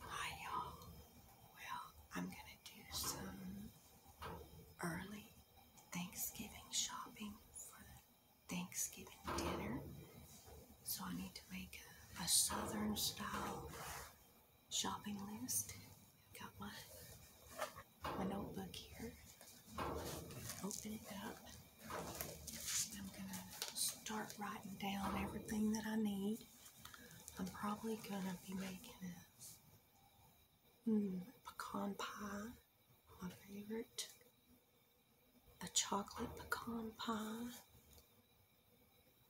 Hi y'all. Well, I'm gonna do some early Thanksgiving shopping for the Thanksgiving dinner. So I need to make a, southern style shopping list. I've got my my notebook here. Open it up. I'm going to start writing down everything that I need. I'm probably going to be making hmm, a pecan pie, my favorite. A chocolate pecan pie.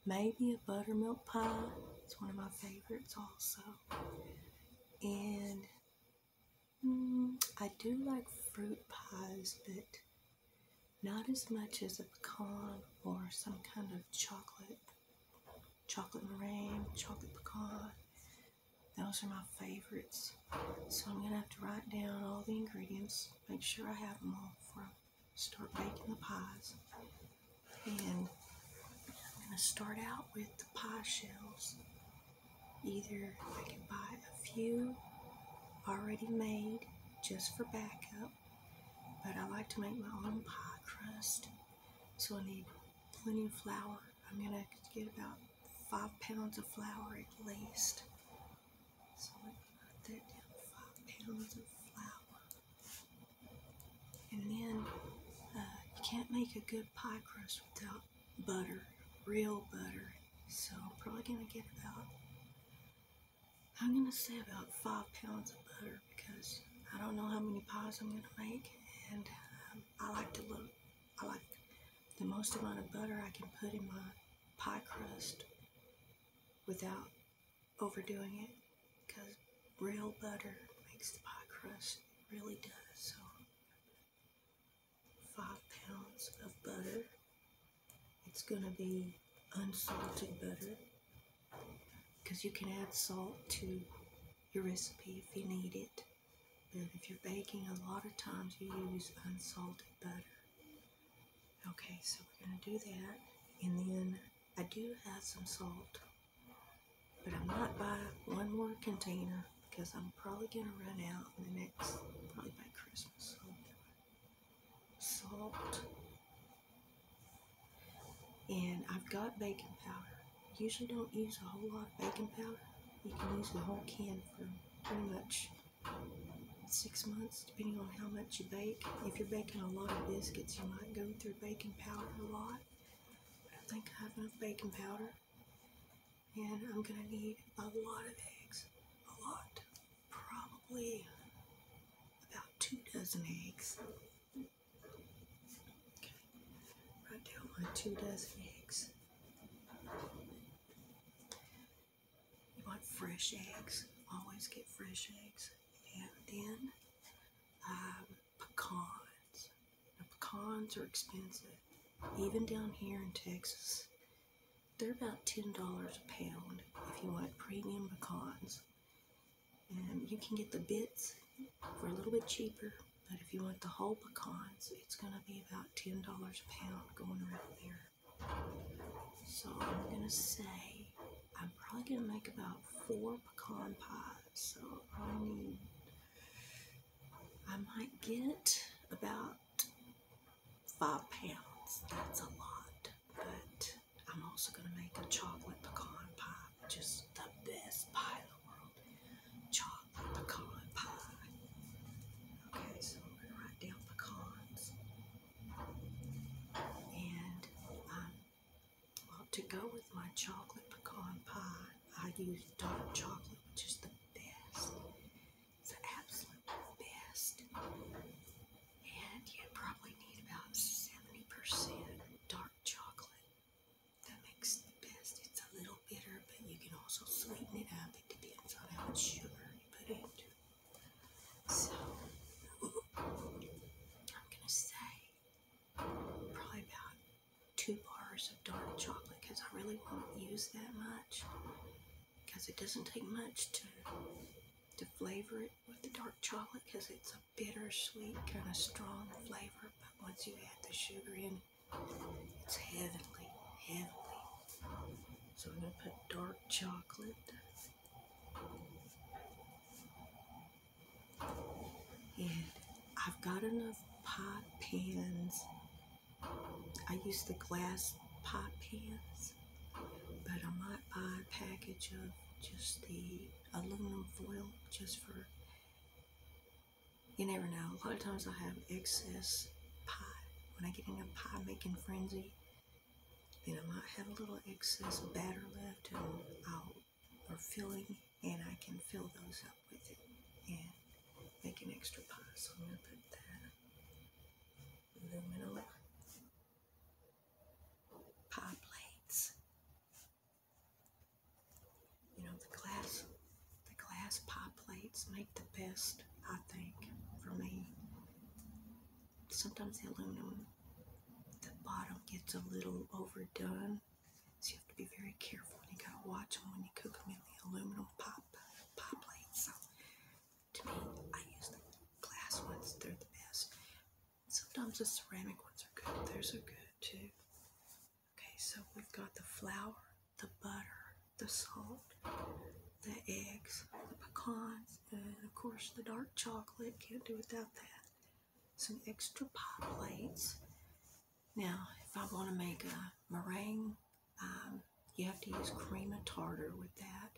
Maybe a buttermilk pie. It's one of my favorites also. And mm, I do like fruit pies, but not as much as a pecan or some kind of chocolate, chocolate meringue, chocolate pecan. Those are my favorites. So I'm going to have to write down all the ingredients, make sure I have them all before I start baking the pies. And I'm going to start out with the pie shells. Either I can buy a few already made just for backup. But I like to make my own pie crust, so I need plenty of flour. I'm gonna get about five pounds of flour at least. So I put that down, five pounds of flour. And then uh, you can't make a good pie crust without butter, real butter. So I'm probably gonna get about I'm going to say about five pounds of butter because I don't know how many pies I'm going to make, and um, I like to look, I like the most amount of butter I can put in my pie crust without overdoing it because real butter makes the pie crust, really does. So, five pounds of butter. It's gonna be unsalted butter because you can add salt to your recipe if you need it. But if you're baking, a lot of times you use unsalted butter. Okay, so we're gonna do that. And then I do have some salt, but I am not buy one more container because I'm probably gonna run out in the next, probably by Christmas. So salt, and I've got baking powder. Usually don't use a whole lot of baking powder. You can use the whole can for pretty much six months, depending on how much you bake. If you're baking a lot of biscuits, you might go through baking powder a lot. I think I have enough baking powder and I'm gonna need a lot of eggs. A lot. Probably about two dozen eggs. Okay. Write down my two dozen eggs. You want fresh eggs. Always get fresh eggs. And then um, pecans. pecans are expensive. Even down here in Texas, they're about $10 a pound if you want premium pecans. Um, you can get the bits for a little bit cheaper, but if you want the whole pecans, it's going to be about $10 a pound going around here. So I'm going to say I'm probably going to make about four pecan pies. So I need, I might get about five pounds. That's a lot. But I'm also going to make a chocolate pecan pie, which is the best pie in the world. Chocolate pecan pie. Okay, so I'm going to write down pecans. And um, well, to go with my chocolate pecan pie, I use dark chocolate, which is the best the absolute best. And you probably need about 70% dark chocolate. That makes the best. It's a little bitter, but you can also sweeten it up. It depends on how much sugar you put in. So, I'm going to say probably about two bars of dark chocolate because I really won't use that much because it doesn't take much to to flavor it with the dark chocolate because it's a bittersweet kind of strong flavor but once you add the sugar in it's heavenly heavenly so i'm going to put dark chocolate and i've got enough pot pans I use the glass pie pans, but I might buy a package of just the aluminum foil just for, you never know. A lot of times I have excess pie. When I get in a pie making frenzy, then I might have a little excess batter left and or filling, and I can fill those up with it and make an extra pot. So I'm going to put that aluminum pie plates. You know, the glass, the glass pie plates make the best, I think, for me. Sometimes the aluminum, the bottom gets a little overdone. So you have to be very careful and you gotta watch them when you cook them in the aluminum pop pop lights. So to me, I use the glass ones. They're the best. Sometimes the ceramic ones are good. Those are good too. Okay, so we've got the flour, the butter, the salt, the eggs, the pecans, and of course the dark chocolate. Can't do without that. Some extra pop plates, now, if I want to make a meringue, um, you have to use cream of tartar with that.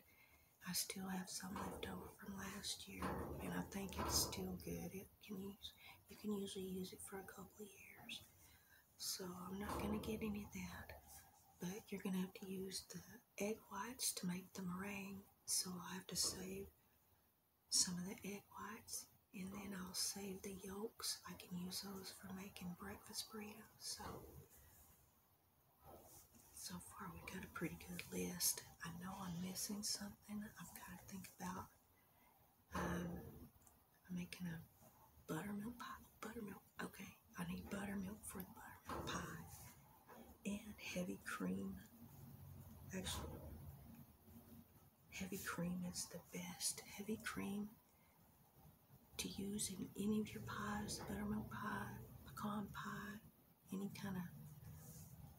I still have some left over from last year, and I think it's still good. It can use, you can usually use it for a couple of years. So I'm not going to get any of that, but you're going to have to use the egg whites to make the meringue. So I'll have to save some of the egg whites and then I'll save the yolks. I can use those for making breakfast burritos. So, so far we got a pretty good list. I know I'm missing something. I've got to think about. Um, I'm making a buttermilk pie. Buttermilk. Okay, I need buttermilk for the buttermilk pie and heavy cream. Actually, heavy cream is the best. Heavy cream to use in any of your pies, buttermilk pie, pecan pie, any kind of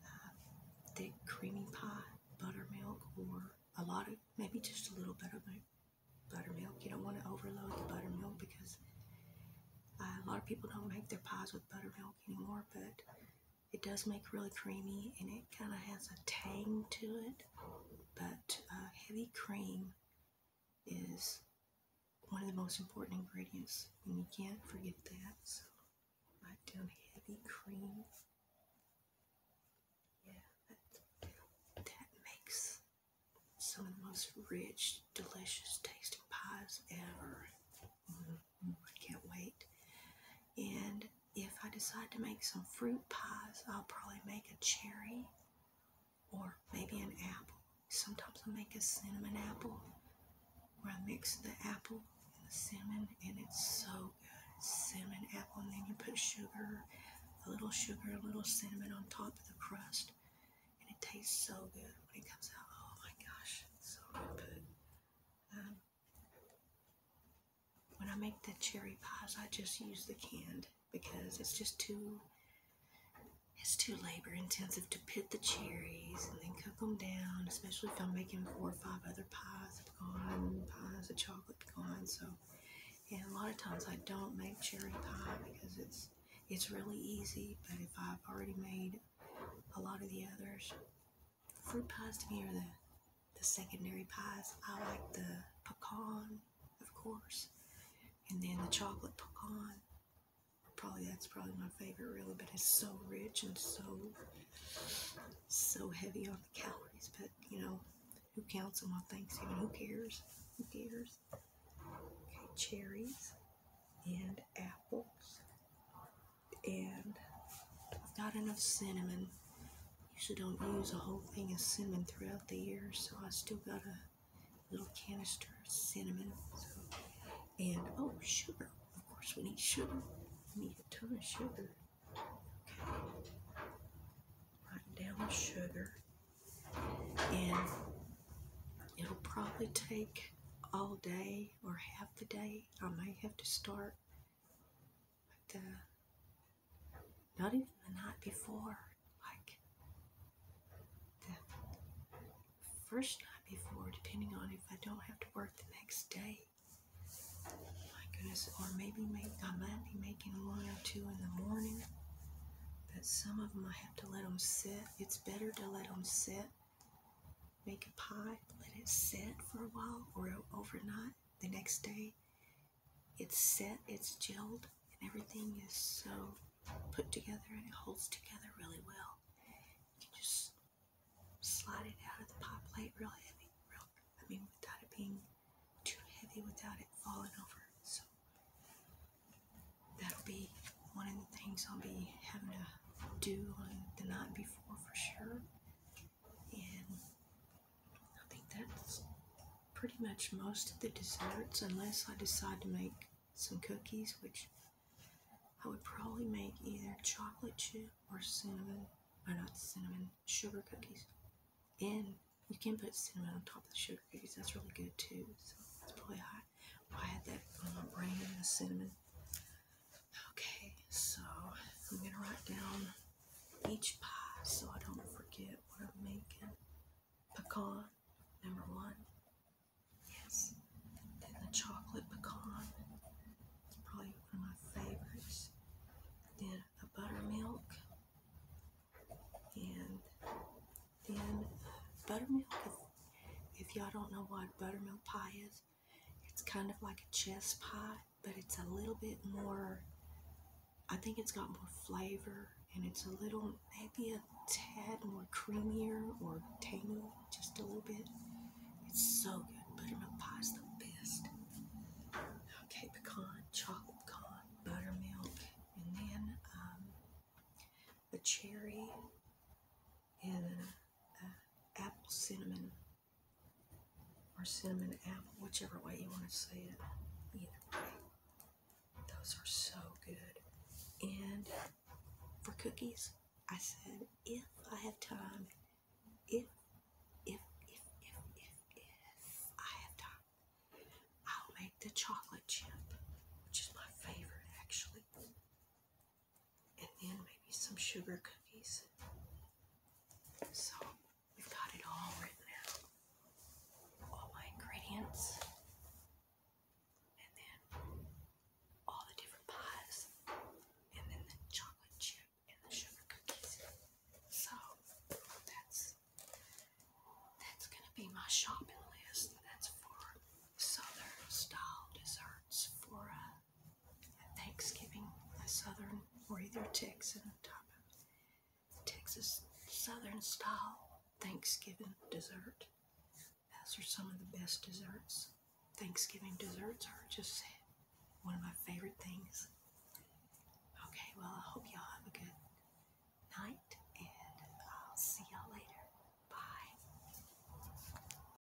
uh, thick creamy pie, buttermilk, or a lot of, maybe just a little bit of buttermilk. You don't want to overload the buttermilk because uh, a lot of people don't make their pies with buttermilk anymore, but it does make really creamy and it kind of has a tang to it but uh, heavy cream is one of the most important ingredients, and you can't forget that. So, write down heavy cream. Yeah, that, that makes some of the most rich, delicious tasting pies ever. Mm-hmm. I can't wait. And if I decide to make some fruit pies, I'll probably make a cherry or maybe an apple. Sometimes I make a cinnamon apple where I mix the apple and the cinnamon, and it's so good. Cinnamon, apple, and then you put sugar, a little sugar, a little cinnamon on top of the crust, and it tastes so good when it comes out. Oh my gosh, so good. Um, when I make the cherry pies, I just use the canned because it's just too it's too labor intensive to pit the cherries and then cook them down, especially if I'm making four or five other pies, of pecan pies, a chocolate pecan. So, yeah, a lot of times I don't make cherry pie because it's it's really easy. But if I've already made a lot of the others, fruit pies to me are the, the secondary pies. I like the pecan, of course, and then the chocolate pecan. Probably that's probably my favorite, really, but it's so rich and so so heavy on the calories. But you know, who counts them on Thanksgiving? Who cares? Who cares? Okay, cherries and apples, and I've got enough cinnamon usually don't use a whole thing of cinnamon throughout the year, so I still got a little canister of cinnamon. So, and oh, sugar. Of course, we need sugar. We need a ton of sugar. Okay. Writing down the sugar. And it'll probably take all day or half the day. I may have to start but uh, not even the night before, like the first night before, depending on if I don't have to work the next day. My goodness, or maybe make, I might be making one or two in the morning, but some of them I have to let them sit. It's better to let them sit. Make a pie, let it sit for a while or overnight the next day it's set, it's gelled, and everything is so put together and it holds together really well. You can just slide it out of the pie plate real heavy, real, I mean, without it being too heavy, without it falling over. So that'll be one of the things I'll be having to do on the night before for sure. And I think that's pretty much most of the desserts, unless I decide to make some cookies, which I would probably make either chocolate chip or cinnamon, or not cinnamon, sugar cookies. And you can put cinnamon on top of the sugar cookies, that's really good too. So that's probably high. I had that on my brain, and the cinnamon. Okay, so I'm going to write down each pie so I don't forget what I'm making. Pecan, number one. Yes. Then the chocolate pecan. It's probably one of my favorites. Then the buttermilk. And then buttermilk. If, if y'all don't know what buttermilk pie is, it's kind of like a chess pie, but it's a little bit more, I think it's got more flavor and it's a little, maybe a tad more creamier or tangy, just a little bit. It's so good. Buttermilk pie is the best. Okay, pecan, chocolate pecan, buttermilk, and then um, a cherry and uh, apple cinnamon or cinnamon apple, whichever way you want to say it. Either way, those are so good. And for cookies, I said if I have time, if if if if if if I have time, I'll make the chocolate chip, which is my favorite actually and then maybe some sugar cookies. So we got it all written all my ingredients, and then all the different pies, and then the chocolate chip and the sugar cookies. So that's that's gonna be my shopping list. That's for southern style desserts for us. Thanksgiving, a Southern or either Texan Texas Southern style Thanksgiving dessert. Those are some of the best desserts. Thanksgiving desserts are just one of my favorite things. Okay, well, I hope y'all have a good night, and I'll see y'all later. Bye.